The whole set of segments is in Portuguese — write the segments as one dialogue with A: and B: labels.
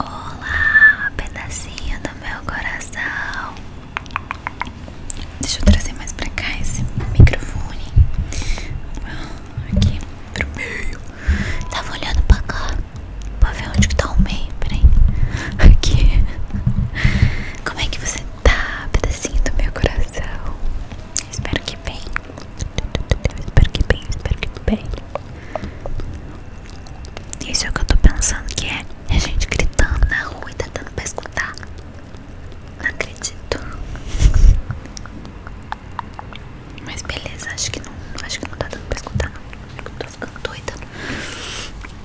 A: Olá, pedacinho do meu coração. Deixa eu trazer mais pra cá esse microfone. Aqui pro meio. Tava olhando pra cá. Pra ver onde que tá o meio. Peraí. Aqui. Como é que você tá, pedacinho do meu coração? Espero que bem. Espero que bem, espero que bem. Isso é o que eu tô pensando que é. a é gente gritando na rua e tá dando pra escutar. Não acredito. Mas beleza, acho que não. Acho que não tá dando pra escutar não. Eu tô ficando doida.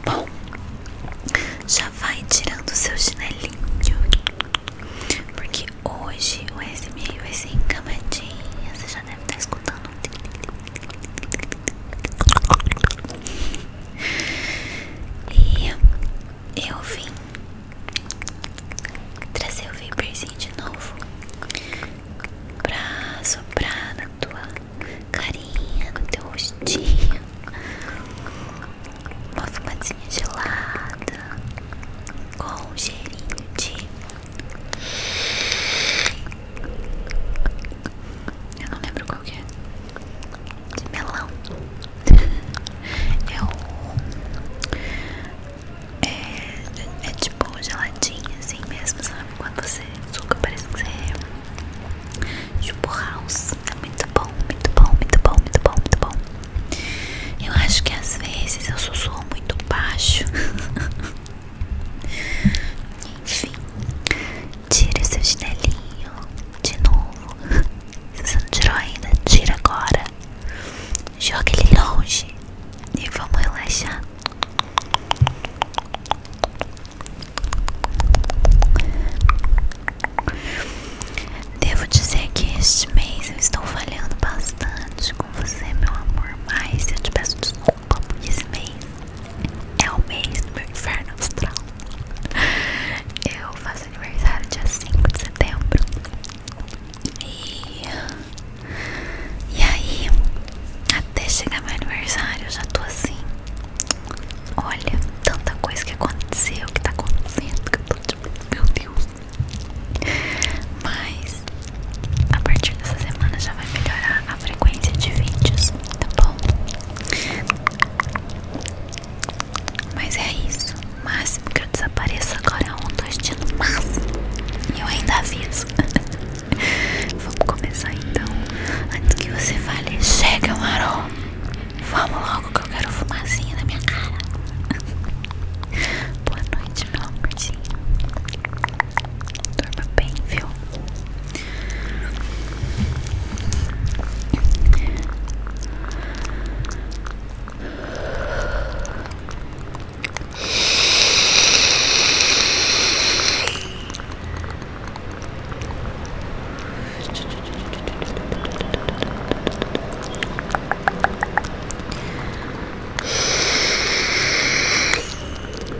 A: Bom, já vai tirando o seu chinelinho. Porque hoje o SMR vai é ser encamadinha. Você já deve estar tá escutando e eu vim trazer o vaporzinho de novo pra soprar na tua carinha, no teu rostinho. Uma fumadinha gelada com um cheirinho de eu não lembro qual é. De melão. é o. É, é, tipo geladinho assim mesmo, Quando você suca, parece que você é. Tipo house. É muito bom, muito bom, muito bom, muito bom, muito bom. Eu acho que às vezes eu sussurro muito baixo. Enfim, tira seu chinelinho de novo. Se você não tirou ainda, tira agora. Joga ele longe e vamos relaxar. Devo dizer que este mês eu estou falhando bastante com você, meu amor. Mas eu te peço desculpas como esse mês. É o mês do meu inferno astral. Eu faço aniversário dia 5 de setembro. E, e aí, até chegar meu aniversário, eu já tô assim. Olha, tanta coisa que aconteceu, que tá acontecendo, que eu tô tipo, meu Deus. Mas a partir dessa semana já vai melhorar a frequência de vídeos, tá bom? Mas é isso. máximo que eu desapareça agora é um, dois dias no máximo. E eu ainda aviso. Vamos começar então. Antes que você fale, chega, Marô. Vamos logo que eu quero fumazinha na minha cara. Boa noite, meu amorzinho. Dorma bem, viu? Muito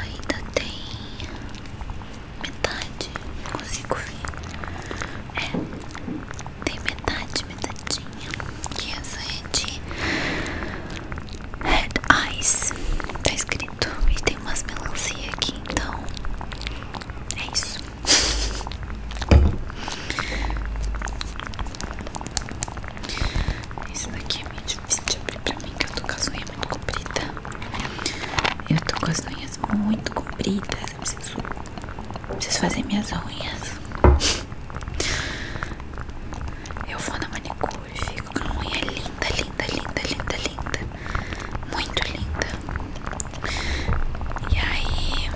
A: Ainda tem metade, consigo ver. É, tem metade, metadinha. Que essa é de Red Eyes. Tá escrito. E tem umas melancia aqui, então. É isso. Isso daqui é meio difícil de abrir pra mim, que eu tô com as unhas muito compridas. Eu tô com as unhas muito compridas. Eu preciso, fazer minhas unhas. Eu vou na manicure fico com uma unha linda, linda, linda, linda, linda. Muito linda. E aí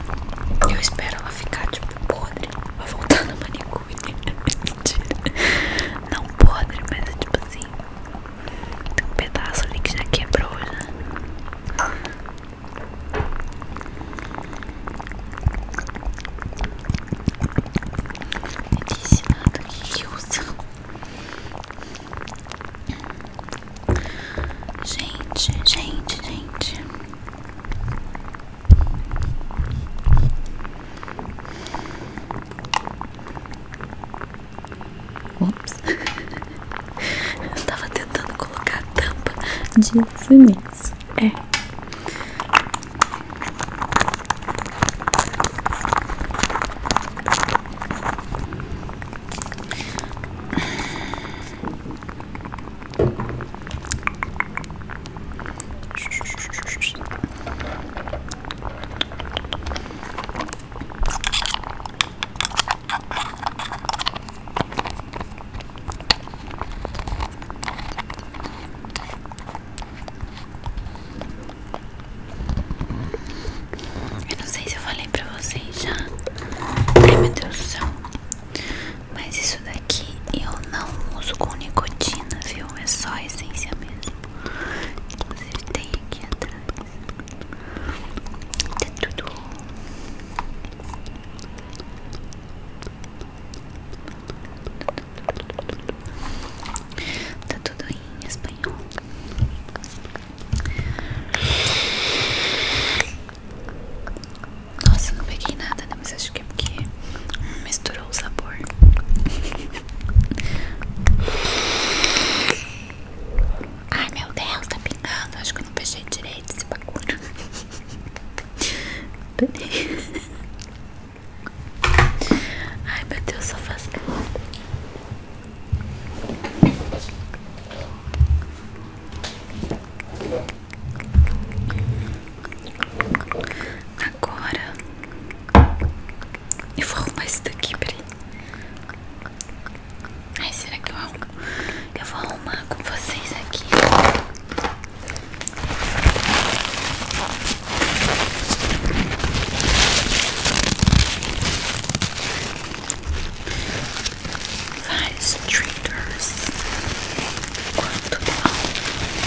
A: eu espero ela ficar tipo podre pra voltar na manicure. Mentira. Não pode mas é tipo assim. Tem um pedaço ali que já quebrou já. Né? Eu disse nada que usa. Gente, gente, gente. Ops. Eu tava tentando colocar a tampa disso nisso. É. Eu não sei se eu falei pra vocês já. Ai meu Deus do céu. Mas isso daqui eu não uso com nicotina, viu? É só a essência mesmo. Inclusive tem aqui atrás. Tem tá tudo. Tá tudo em espanhol. Nossa, não peguei nada, né? Mas acho que é porque misturou o sabor. Ai meu Deus, tá pingando. Acho que eu não fechei direito esse bagulho. Ai meu Deus, só faz. Agora eu vou arrumar esse daqui, peraí. Ai, será que eu arrumo? Eu vou arrumar com vocês aqui. Vários triggers. Quanto bom.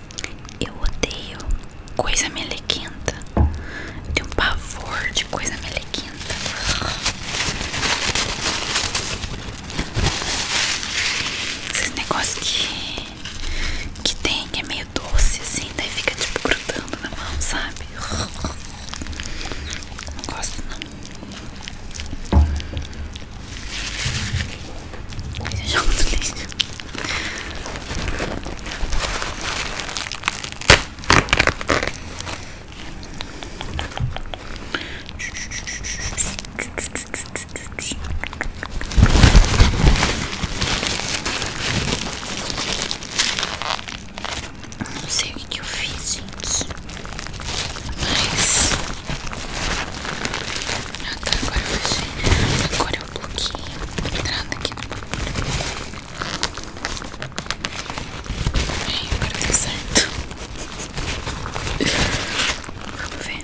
A: Eu odeio coisa melequenta. Eu tenho um pavor de coisa melequenta. Esses negócios que, que tem, que é meio doce assim, daí fica tipo grudando na mão, sabe? Não gosto não. Mas eu jogo no Não sei o que, eu fiz, gente. Mas. Ah, tá, agora eu fechei um pouquinho, entrando aqui no Bem, agora deu certo. Vamos ver.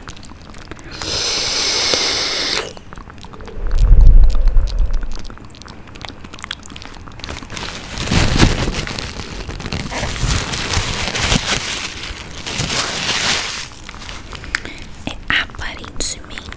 A: É aparentemente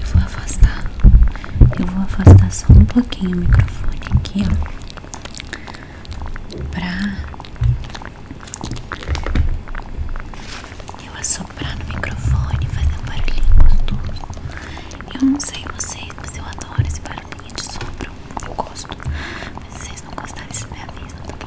A: Eu vou afastar, eu vou afastar só um pouquinho o microfone aqui, ó, pra eu assoprar no microfone, fazer um barulhinho gostoso. Eu não sei vocês, mas eu adoro esse barulhinho de sopro, eu gosto. Mas vocês não gostarem, vocês me avisam, tá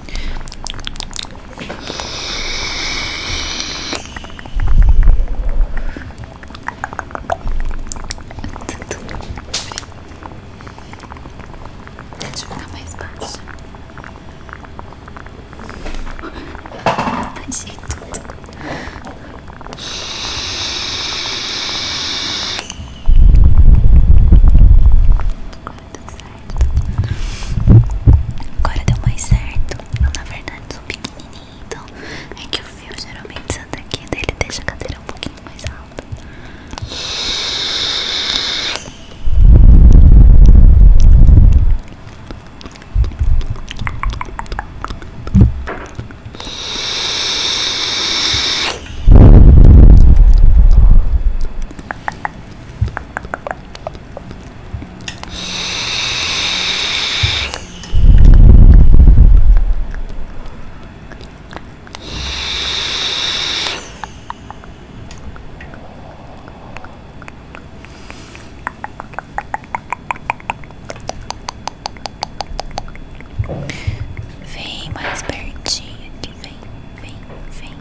A: Tá Deixa eu ficar mais baixa. Achei tudo. Agora deu mais certo. Eu, na verdade, sou pequenininho, então é que o fio geralmente sai daqui, daí ele deixa a cadeira um pouquinho mais alta. Vem mais pertinho, vem, vem, vem.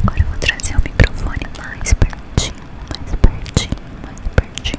A: Agora vou trazer o microfone mais pertinho, mais pertinho, mais pertinho.